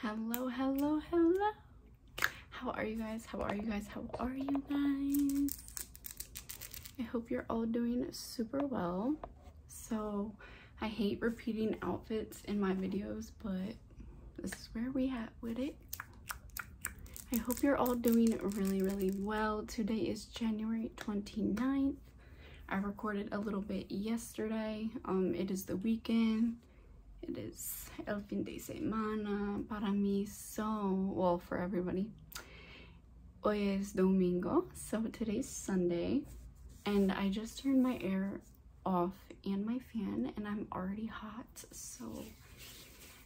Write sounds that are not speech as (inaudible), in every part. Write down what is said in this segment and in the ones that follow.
hello hello hello how are you guys how are you guys how are you guys i hope you're all doing super well so i hate repeating outfits in my videos but this is where we had with it i hope you're all doing really really well today is january 29th i recorded a little bit yesterday um, it is the weekend it is el fin de semana para mí, so, well, for everybody. Hoy es domingo, so today's Sunday, and I just turned my air off and my fan, and I'm already hot, so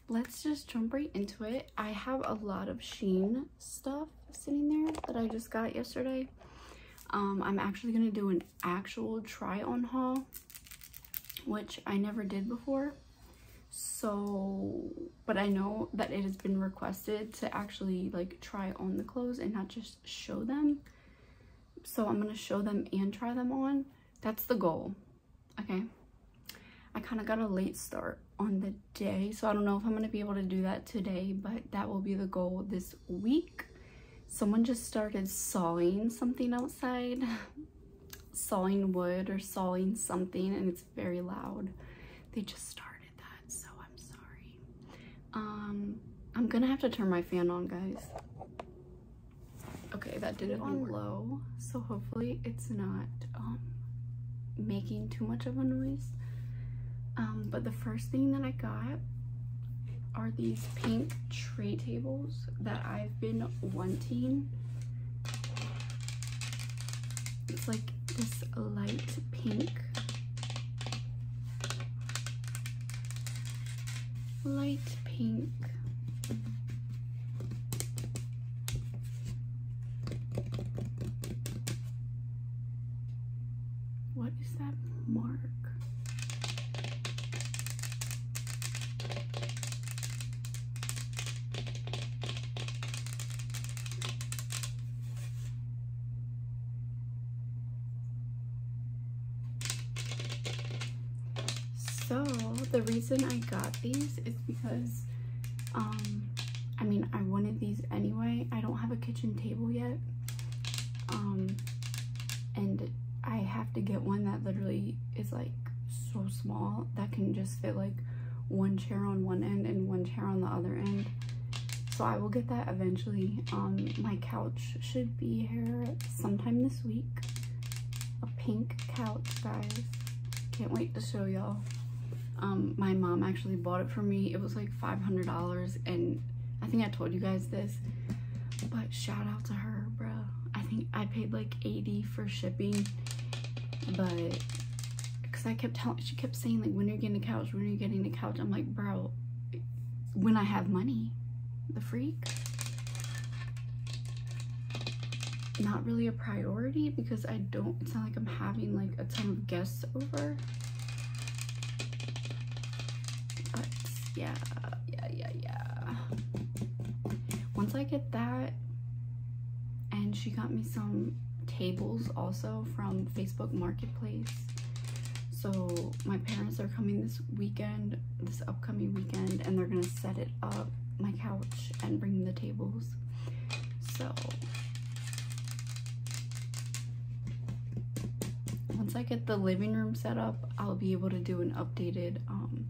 let's just jump right into it. I have a lot of Sheen stuff sitting there that I just got yesterday. Um, I'm actually going to do an actual try on haul, which I never did before. So, but I know that it has been requested to actually like try on the clothes and not just show them. So I'm going to show them and try them on. That's the goal. Okay. I kind of got a late start on the day, so I don't know if I'm going to be able to do that today, but that will be the goal this week, someone just started sawing something outside, sawing wood or sawing something, and it's very loud. They just started that, so I'm sorry. Um, I'm gonna have to turn my fan on, guys. Okay, that did it on low, so hopefully it's not um, making too much of a noise. Um, but the first thing that I got are these pink tray tables that I've been wanting. It's like this light pink. Light pink. What is that mark? So the reason I got these is because um, I mean, I wanted these anyway. I don't have a kitchen table yet. Um, and I have to get one that literally is like so small that can just fit like one chair on one end and one chair on the other end. So I will get that eventually. Um, my couch should be here sometime this week. A pink couch, guys. Can't wait to show y'all. Um, my mom actually bought it for me. It was like $500 and I think I told you guys this. But shout out to her, bro. I think I paid like 80 for shipping, but because I kept telling, she kept saying like, when are you getting the couch? When are you getting the couch? I'm like, bro, when I have money, the freak. Not really a priority because I don't, it's not like I'm having like a ton of guests over. But yeah, yeah, yeah, yeah. Once I get that, and she got me some tables also from Facebook Marketplace. So my parents are coming this weekend, this upcoming weekend, and they're gonna set it up, my couch, and bring the tables. So once I get the living room set up, I'll be able to do an updated um,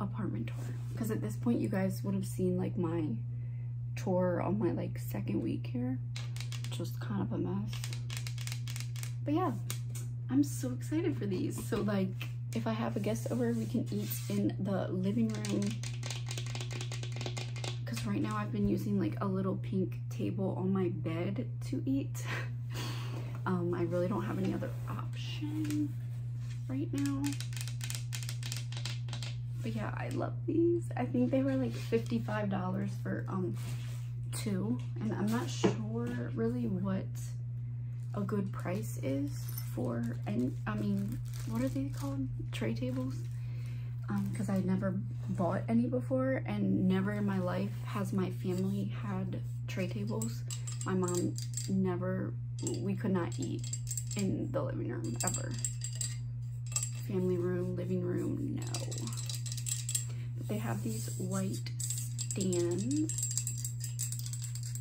apartment tour. Because at this point, you guys would have seen like my tour on my like second week here, which was kind of a mess. But yeah, I'm so excited for these. So like, if I have a guest over, we can eat in the living room. Because right now I've been using like a little pink table on my bed to eat. (laughs) Um, I really don't have any other option right now. But yeah, I love these. I think they were like $55 for um two. And I'm not sure really what a good price is for, and I mean, what are they called? Tray tables? because um, I never bought any before and never in my life has my family had tray tables. My mom never, we could not eat in the living room ever. Family room, living room, no. But they have these white stands.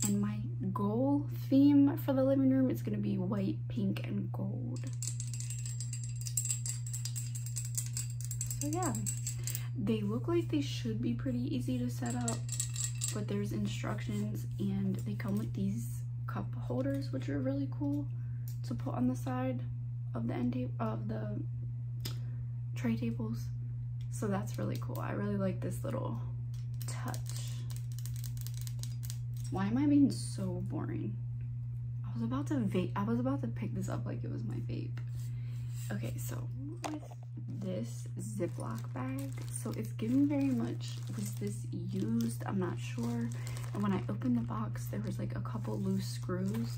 And my goal theme for the living room is gonna be white, pink, and gold. So yeah, they look like they should be pretty easy to set up, but there's instructions and they come with these cup holders, which are really cool to put on the side of the end of the tray tables. So that's really cool. I really like this little touch. Why am I being so boring? I was about to vape. I was about to pick this up like it was my vape. Okay, so this Ziploc bag. So it's giving very much, was this used? I'm not sure. And when I opened the box, there was like a couple loose screws.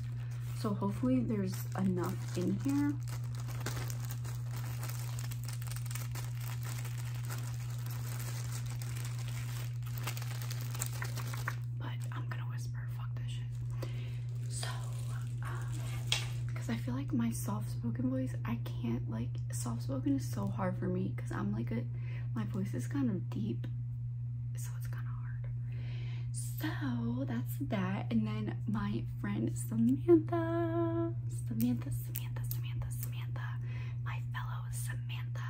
So hopefully there's enough in here. But I'm gonna whisper, fuck this shit. So, um, because I feel like my soft-spoken voice, I can't, like, soft-spoken is so hard for me because I'm, like, a, my voice is kind of deep, so it's kind of hard. So, that's that. And then my friend Samantha, Samantha, Samantha, Samantha, Samantha, my fellow Samantha,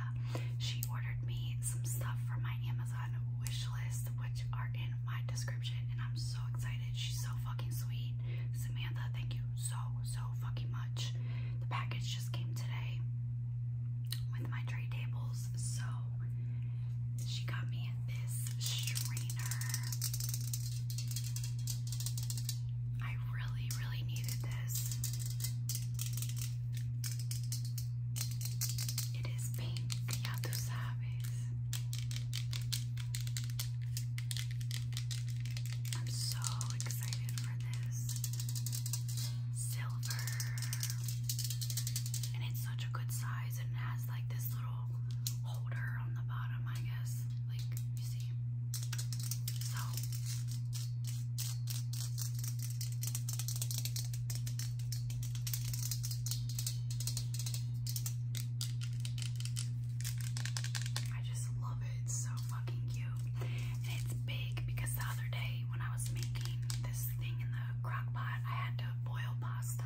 she ordered me some stuff from my Amazon wish list, which are in my description, and I'm so excited She's so fucking sweet. Samantha, thank you so, so fucking much. The package just came today with my tray tables. So she got me this strainer. I really, really needed this. It is pink, ya tu sabes. I'm so excited for this silver, and it's such a good size, and it has like this little holder on the bottom, I guess. Like you see, so. I just love it. It's so fucking cute. And it's big because the other day when I was making this thing in the crock pot, I had to boil pasta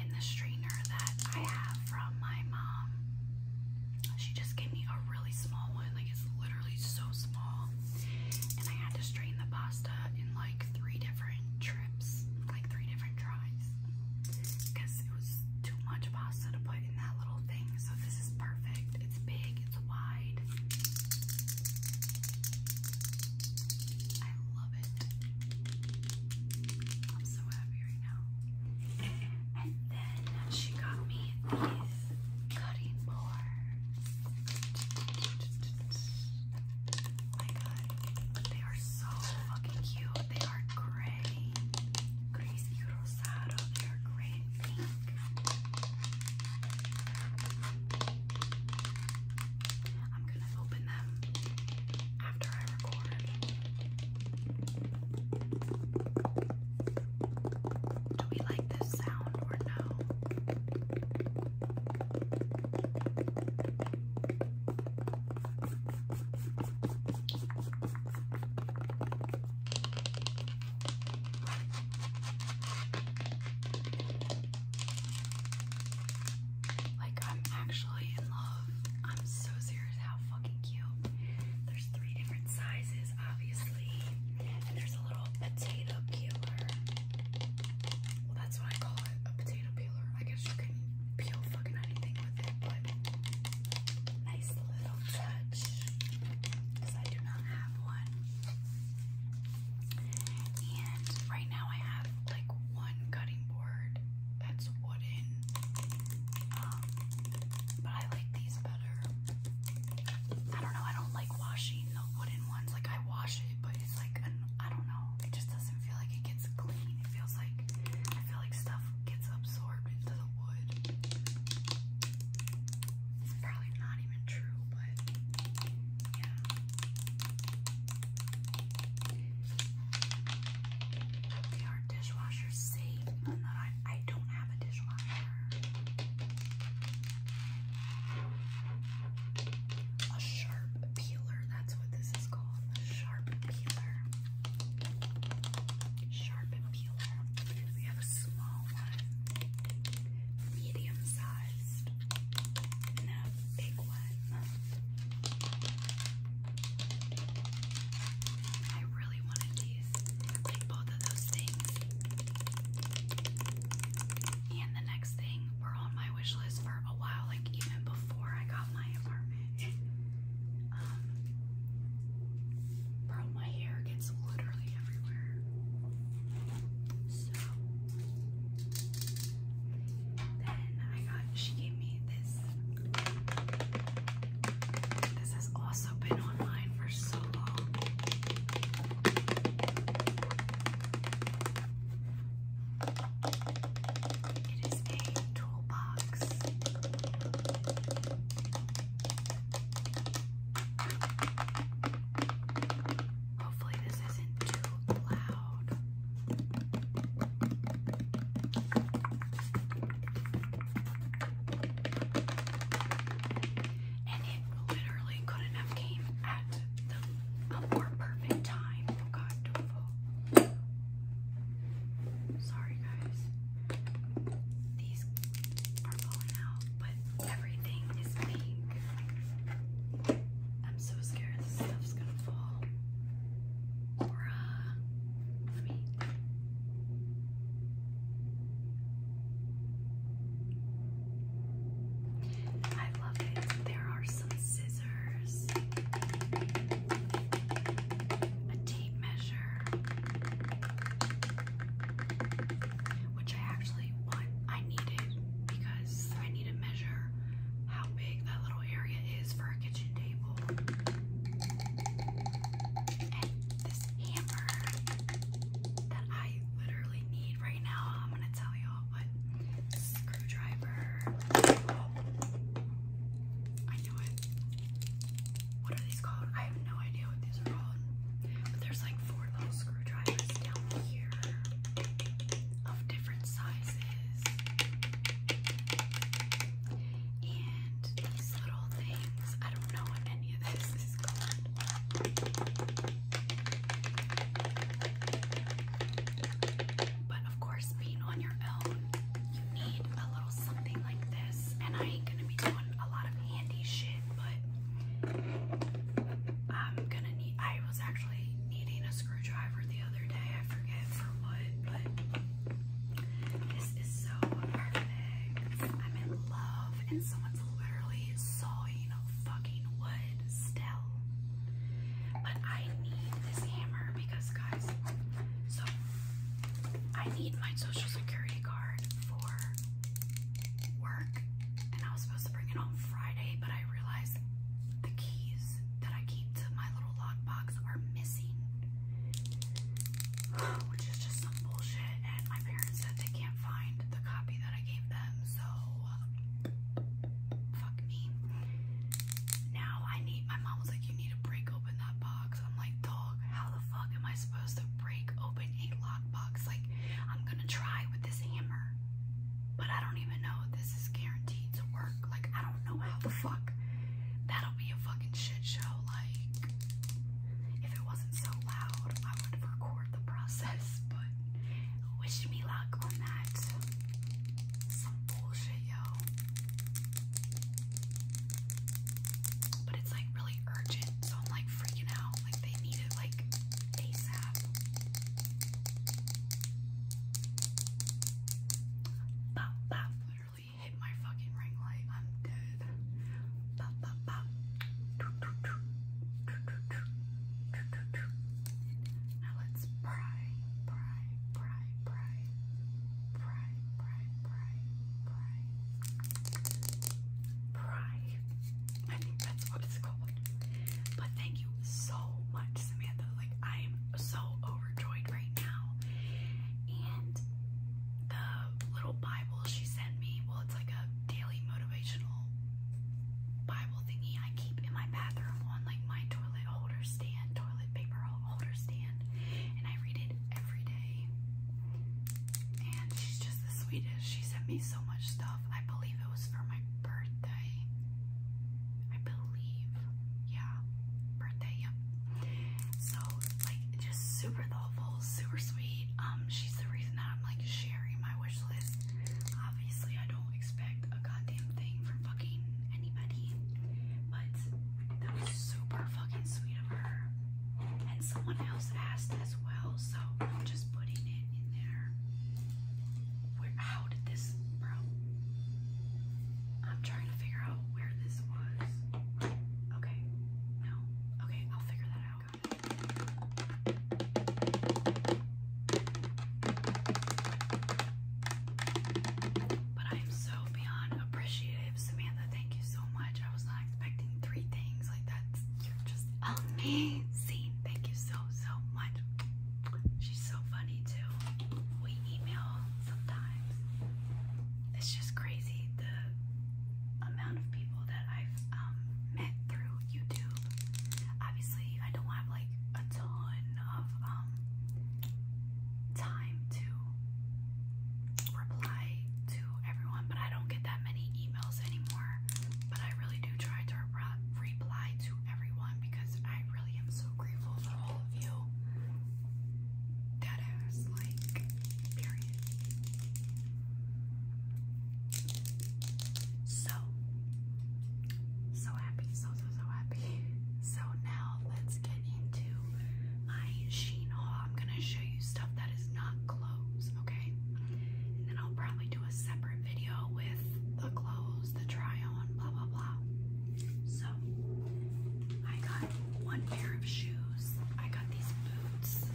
in the strainer that I have from my mom. She just gave me a really small one. Like it's literally so small. And I had to strain the pasta in like three different trips, like three different tries because it was too much pasta to put in that little thing. So this is perfect. It's big, it's wide. I love it. I'm so happy right now. And then she got me these cutting boards. Oh my god, they are so fucking cute. They are gray, gris y They are gray and pink. I'm gonna open them after I record. Do we like this sound or no? Like, I'm actually in love. I'm so serious how fucking cute. There's three different sizes, obviously. And there's a little potato peeler. Well, that's what I call it a potato peeler. I guess you can peel fucking anything with it, nice little touch. Because I do not have one. And right now I have like one cutting board that's wooden. Um, but I like these better. I don't know, I don't like washing the wooden ones. Like I wash it, but it's like I don't know. It just doesn't feel like it gets clean. It feels like I feel like stuff gets absorbed into the wood. It's probably not even true, but yeah. They are dishwasher safe, even I, I don't have a dishwasher. A sharp peeler, that's what this is called sharp peeler. We have a small one, medium sized, and a big one. I really wanted these. Like both of those things. And the next thing were on my wish list for a while, like even before I got my apartment. Um, bro, my hair gets literally everywhere. So then I got. She gave me this. This has also been online for so long. It is a toolbox. Hopefully, this isn't too loud. And it literally could have came at a more perfect time. Oh God, Sorry, guys. These are falling out, but everything is pink. I'm so scared this stuff's gonna fall. Or, let me. I love it. There are some scissors a tape measure, which I actually want, I needed because I need to measure how big that little area is for a kitchen table. And this hammer that I literally need right now, I'm gonna tell y'all, but screwdriver. Oh, what are these called? I have no idea what these are called. But there's like four little screwdrivers down here of different sizes. And these little things, I don't know what any of this is called. But of course, being on your own, you need a little something like this. And I ain't gonna be doing a lot of handy shit, but I'm gonna need. I was actually needing a screwdriver the other day. I forget for what, but this is so perfect. I'm in love, and someone's literally sawing fucking wood still. But I need this hammer because, guys, so I need my social security card for work. And I was supposed to bring it on Friday, but I realize the keys that I keep to my little lockbox are missing, (sighs) which is just some bullshit. And my parents said they can't find the copy that I gave them, so uh, fuck me. Now I need, my mom was like, you need a break open that box. I'm like, dog, how the fuck am I supposed to break open a lock box? Like, I'm gonna try with this hammer, but I don't even know this is guaranteed to work. Like, I don't know how the fuck. That'll be a fucking shit show. Like, if it wasn't so loud, I would record the process, (laughs) but wish me luck on that. Some bullshit, yo. But it's like really urgent, so I'm like freaking out. Like they need it like ASAP. Bop bop literally hit my fucking ring light. I'm dead. Bop bop bop. Now let's pry, pry, pry pry, pry, pry, pry, pry, pry, I think that's what it's called. But thank you so much, Samantha. Like I'm so overjoyed right now. And the little Bible she sent me, well, it's like a daily motivational Bible thingy I keep in my bathroom on like my toilet holder stand, paper holder stand, and I read it every day. And she's just the sweetest. She sent me so much stuff. I believe it was for my birthday. I believe, yeah, birthday, So like, just super thoughtful, super sweet. Um, she's the reason that I'm like sharing my wish list. Obviously, I don't expect a goddamn thing from fucking anybody, but that was super fucking sweet of her. And someone else asked as well, so I'm just putting it in there. Where how did this bro? I'm trying to figure out where this was. Okay. No. Okay, I'll figure that out. But I am so beyond appreciative, Samantha. Thank you so much. I was not expecting three things like that. You're just amazing. Thank you so so much. She's so funny too. We email sometimes. It's just crazy the amount of people that I've um, met through YouTube. Obviously, I don't have like a ton of um, time to reply to everyone, but I don't get that many emails anymore. But I really do try to reply to everyone because I really am so grateful for all of you. That ass, like, period. So, so happy, so, so, so happy. (laughs) So now let's get into my Sheen haul. I'm gonna show you stuff that is not clothes, okay? And then I'll probably do a separate video with the clothes, the try on, blah blah blah. So I got one pair of shoes. I got these boots.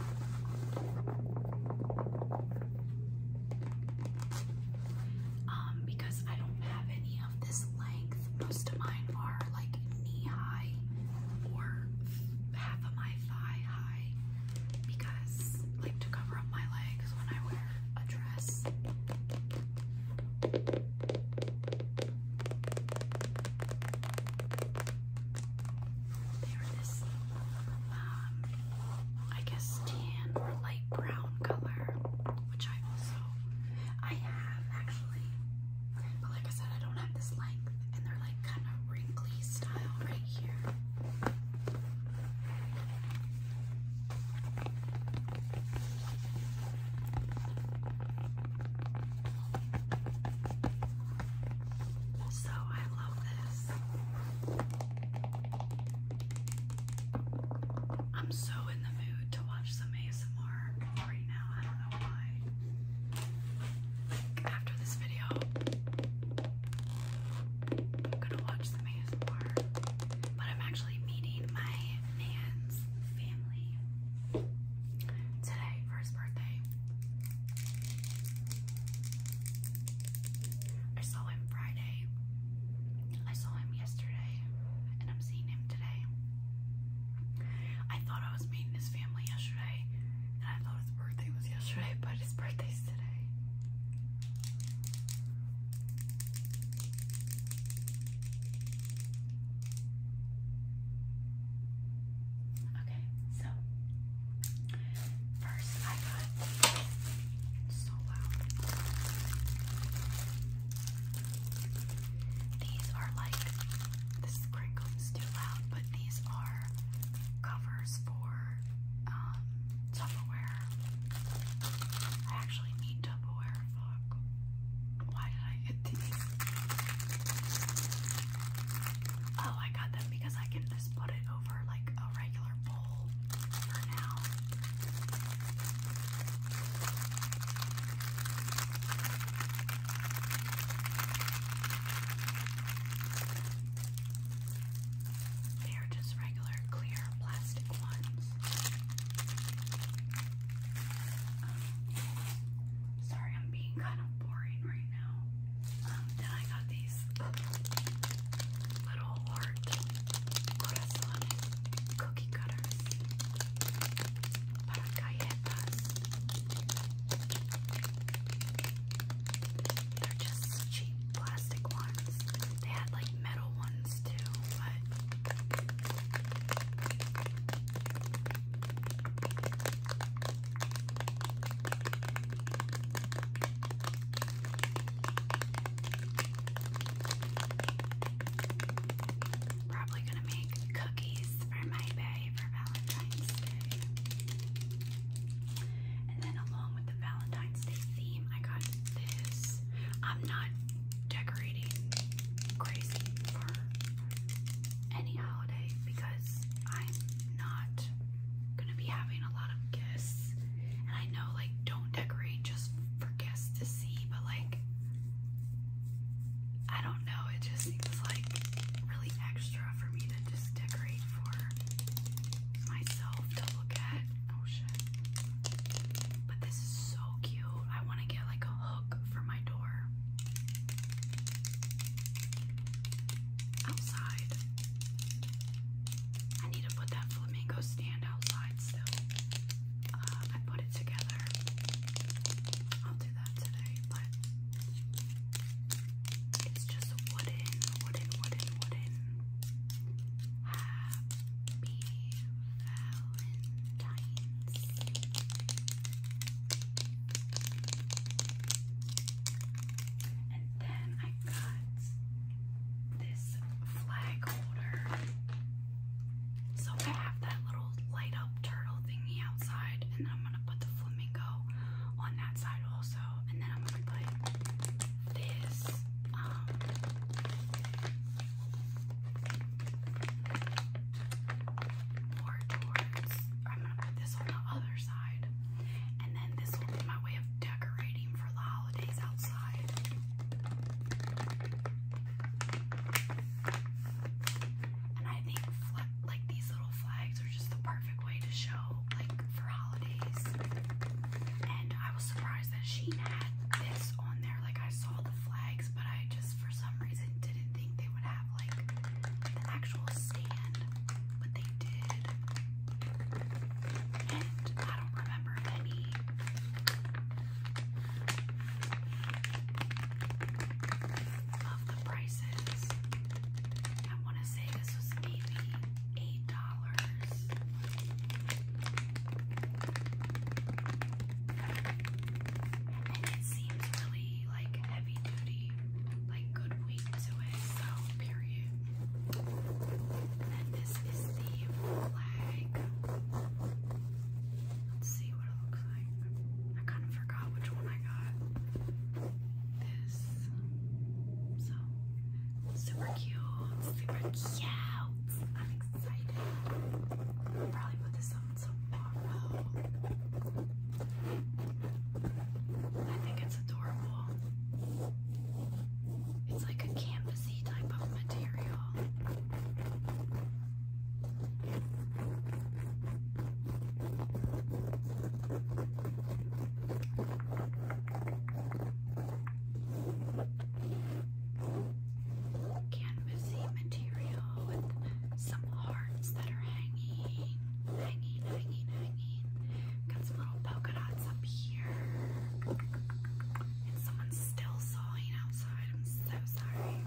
Um, because I don't have any of this length. Most of mine are like knee high or half of my thigh high because like to cover up my legs when I wear a dress. They're this, um, I guess tan or light brown color, which I also, I have actually but like I said, I don't have this length, and they're like kind of wrinkly style right here. So I love this. I'm so in the mood to watch some ASMR right now after this video, I'm gonna watch some ASMR, but I'm actually meeting my man's family today for his birthday. I saw him Friday. I saw him yesterday, and I'm seeing him today. I thought I was meeting his family yesterday, and I thought his birthday was yesterday, but his birthday's today. Okay, so first I got so loud. These are like this crinkling's too loud, but these are covers for um, Tupperware. I actually need Tupperware. Fuck. Why did I get these? Oh, I got them because I can just put it over like a regular bowl for now. They are just regular clear plastic ones. Um, sorry, I'm being kind of boring right now. Um, then I got these little heart corazones cookie cutters. Paracayetas. They're just cheap plastic ones. They had like metal ones too, but probably gonna make cookies for my bae for Valentine's Day. And then along with the Valentine's Day theme, I got this. I'm not decorating crazy for any holiday because I'm not gonna be having a lot of gifts. And I know like don't decorate just for guests to see, but like I don't know, it just seems like really extra for me to just decorate for myself to look at. Oh shit. But this is so cute. I want to get like a hook for my door. Outside. I need to put that flamingo stand outside still. Uh, I put it together. Um, it's just wooden, wooden, wooden, wooden. Happy Valentine's. And then I got this flag holder. So I have that little light up turtle thingy outside, and then I'm gonna put the flamingo on that side also, and then I'm gonna put this. Um, I'm gonna put this on the other side, and then this will be my way of decorating for the holidays outside. And I think like these little flags are just the perfect way to show like for holidays. And I was surprised that Sheen had this on there. Like I saw the flags, but I just for some reason didn't think they would have like the actual stand, but they did. And I don't remember any of the prices. I want to say this was maybe eight dollars. And it seems really like heavy duty, like good weight to it, so period. then this is the flag. Let's see. I kind of forgot which one I got. This. So, super cute. Super cute. I'm excited. probably put this on tomorrow. I think it's adorable. It's like a canvasy type of material canvasy material with some hearts that are hanging, hanging, hanging, hanging. Got some little polka dots up here. And someone's still sawing outside. I'm so sorry.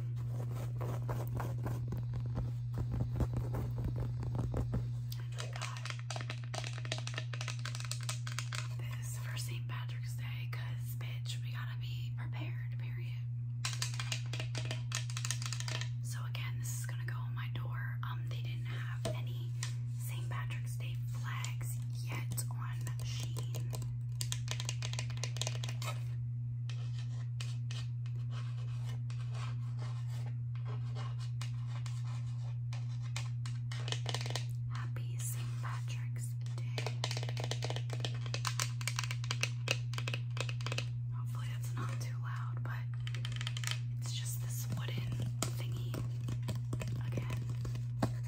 This for St. Patrick's Day, cause bitch, we gotta be prepared, period. So again, this is gonna go on my door. Um, they didn't have any St. Patrick's Day flags yet on Sheen. Happy St. Patrick's Day. Hopefully, that's not too loud, but it's just this wooden thingy again.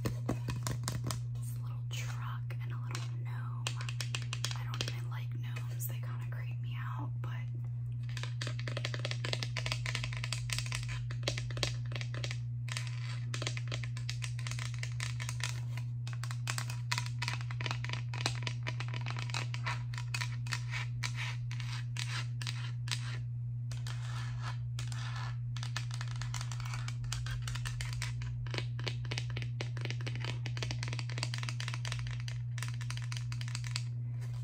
This little truck and a little gnome. I don't even like gnomes, kind of creep me out, but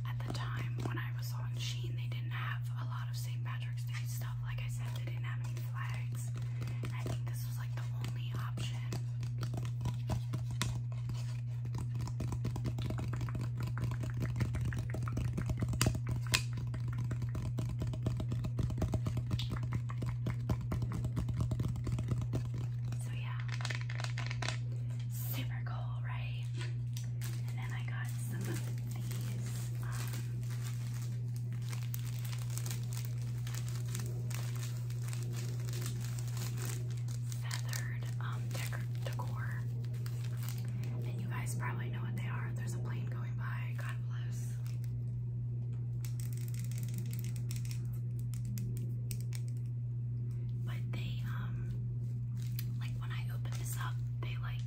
at the time when I was on Sheen, they didn't have a lot of St. Patrick's Day stuff. Like I said, they didn't have any flags. I think this was like the only option. So yeah, super cool, right? And then I got some of these. Um, feathered um, decor. And you guys probably know what they are. There's a plane going by. God bless. But they, um, like when I open this up, they like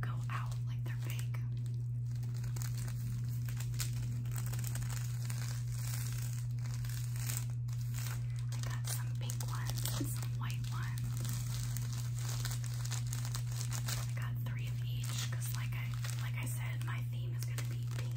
go out like they're fake. I got some pink ones some white ones. I got three of each because, like I like I said, my theme is gonna be pink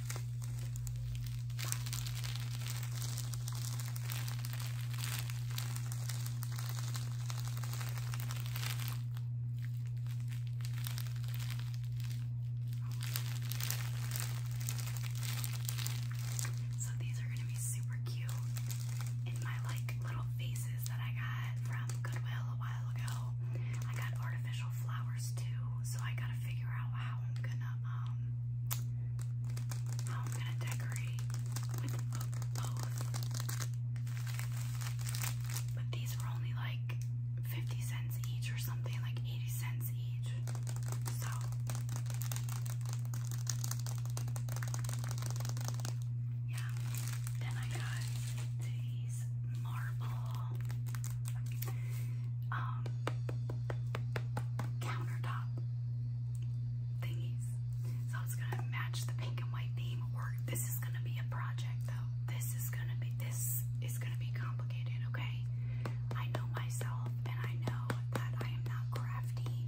So these are gonna be super cute in my like little faces that I got from Goodwill a while ago. I got artificial flowers too, so I gotta figure out how I'm gonna um, I'm gonna decorate with both. But these were only like 50 cents each or something, like 80 cents each. So yeah. Then I got these marble um, countertop thingies. So it's gonna match the pink and white theme. Or this is gonna be a project, though. This is gonna be this is gonna be complicated. Okay, I know myself, and I know that I am not crafty,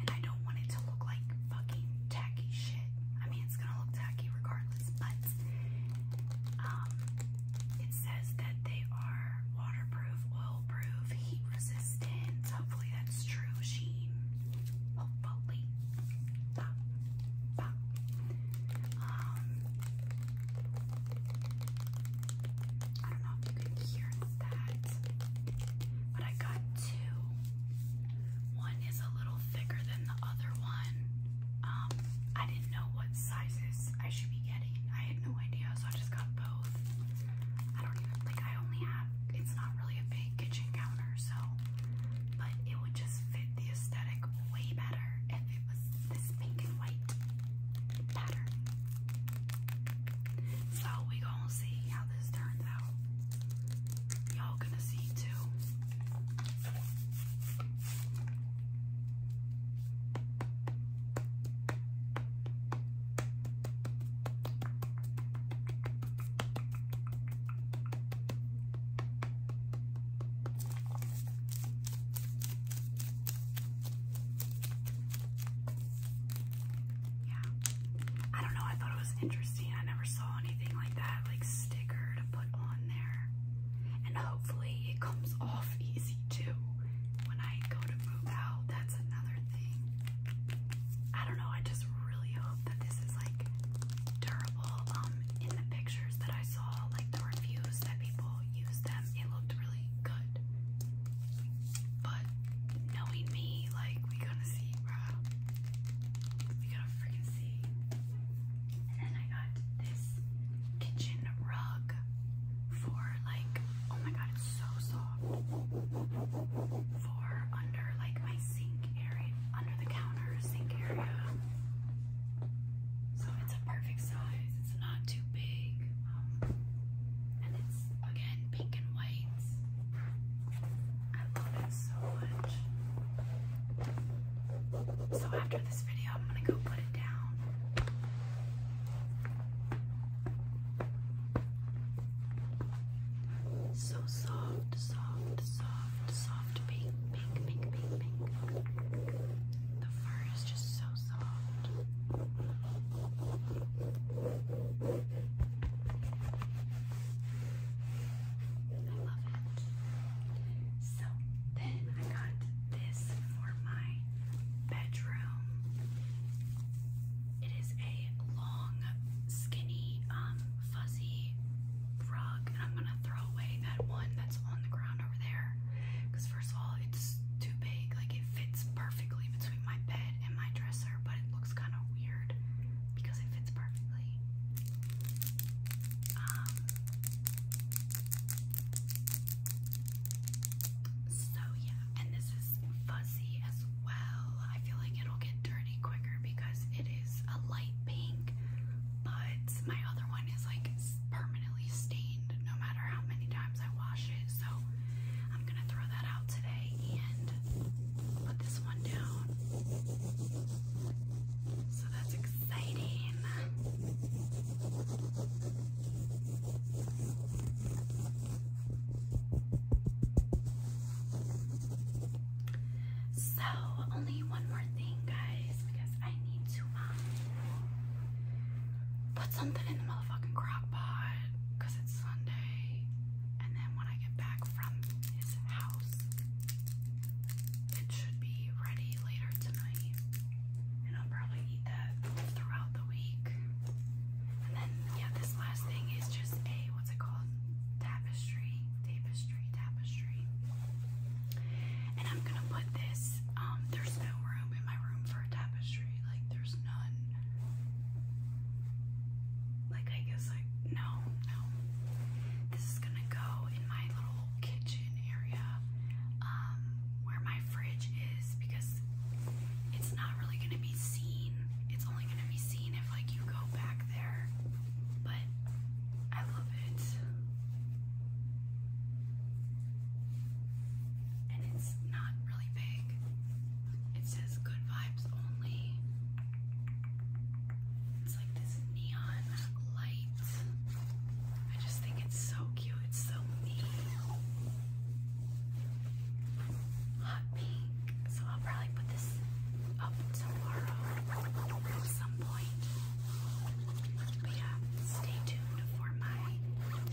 and I don't want it to look like fucking tacky shit. I mean, it's gonna look tacky regardless, but um, it says that they are waterproof, oil-proof, heat resistant. Hopefully that's true, Sheen. Hopefully. Um, I don't know if you can hear that, but I got two. One is a little thicker than the other one. Um, I didn't know what sizes I should be getting. I had no idea, so I just got both. I don't even like I only have it's not really a big kitchen counter, so but it would just fit the aesthetic way better if it was this pink and white pattern. So we gonna see how this turns out. Y'all gonna see too. Yeah. I don't know, I thought it was interesting. I never saw anything like that, like sticker to put on there. And hopefully it comes off easy too when I go to move out. That's another thing. I don't know. I just really hope that this is like durable. Um, in the pictures that I saw, like the reviews that people used them, it looked really good. But knowing me, like we gonna see, bro. We gotta freaking see. And then I got this kitchen rug for like Oh my god, it's so soft. For under like my sink area, under the counter sink area. So it's a perfect size. It's not too big. Um, and it's again pink and white. I love it so much. So after this video, I'm gonna go put it down. So soft, soft, soft, soft pink, pink, pink, pink, The fur is just so soft. I love it. So then I got this for my bedroom. It is a long, skinny, um, fuzzy rug, and I'm gonna throw away that one that's on the ground over there. Because first of all, it's too big. Like it fits perfectly between my bed and my dresser, but it looks kind of weird because it fits perfectly. Um, so yeah, and this is fuzzy as well. I feel like it'll get dirty quicker because it is a light pink, but my other one is like permanently stained no matter how many times I wash it. So I'm gonna throw that out today and put this one down. So that's exciting. So, only one more thing, guys, because I need to um, put something in the motherfucking crock pot because it's Sunday. And then when I get back from his house, it should be ready later tonight. And I'll probably eat that throughout week. And then, yeah, this last thing is just a, what's it called? Tapestry, tapestry, tapestry. And I'm gonna put this, um, there's no room in my room for a tapestry. Like, there's none. Like, I guess, like, no, no. This is gonna go in my little kitchen area. Um, where my fridge is because it's not really going to be seen. It's only going to be seen if like you go back there. But I love it. And it's not really big. It says good vibes only. It's like this neon light. I just think it's so cute. It's so neat hot pink. So I'll probably put this up tomorrow at some point. But yeah, stay tuned for my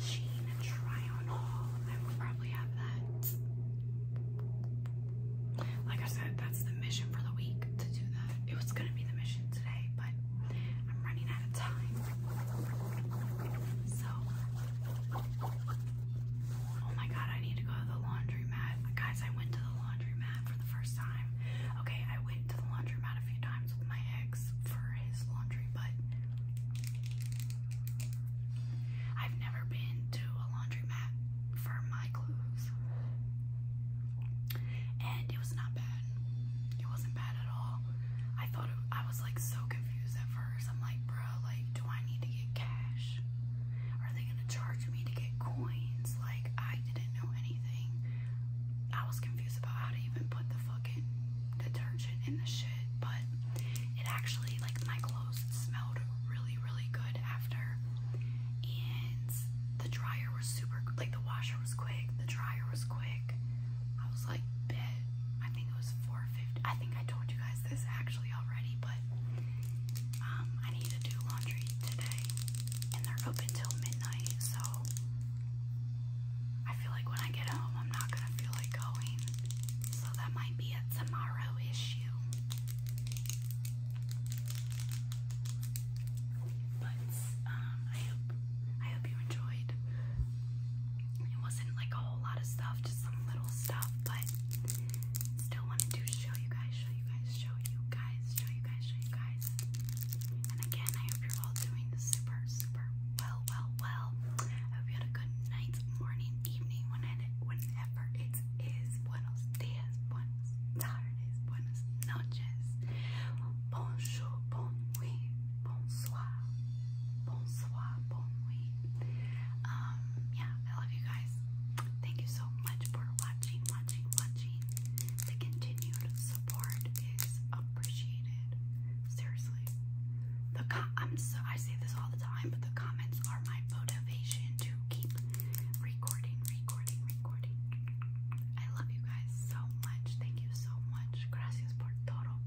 Sheen try on haul. I will probably have that. Like I said, that's the mission for the week to do that. It was gonna be the mission today, but I'm running out of time. So Oh my god, I need to go to the laundromat. Guys, I went to the laundromat for the first time. Okay, I went to the laundromat a few times with my ex for his laundry, but I've never been to a laundromat for my clothes. And it was not bad. It wasn't bad at all. I thought I was like so confused at first. I'm like, bro, like, do I need to get cash? Are they gonna charge me to get coins? Like, I didn't know anything. I was confused about how to even put the fucking detergent in the shit, but it actually, like, my clothes smelled really, really good after. And the dryer was super, like, the washer was quick, the dryer was quick. I was like, bit. I think it was 450. I think I told you guys this actually already, but um, I need to do laundry today, and they're open till midnight, so I feel like when I get home, I'm not gonna feel like going, so that might be a tomorrow issue. But um, I hope I hope you enjoyed it wasn't like a whole lot of stuff, just some little stuff, but still wanted to show you guys, show you guys, show you guys, show you guys, show you guys. And again, I hope you're all doing super, super well, well, well. I hope you had a good night, morning, evening, whenever it is. Buenos dias, buenos tardes, buenas noches. Bonjour, bon bonsoir bonsoir, bon nuit. Um, yeah, I love you guys. Thank you so much for watching, watching, watching. The continued support is appreciated. Seriously, the com I'm so I say this all the time, but the comments are my motivation to keep recording, recording, recording. I love you guys so much. Thank you so much. Gracias por todo.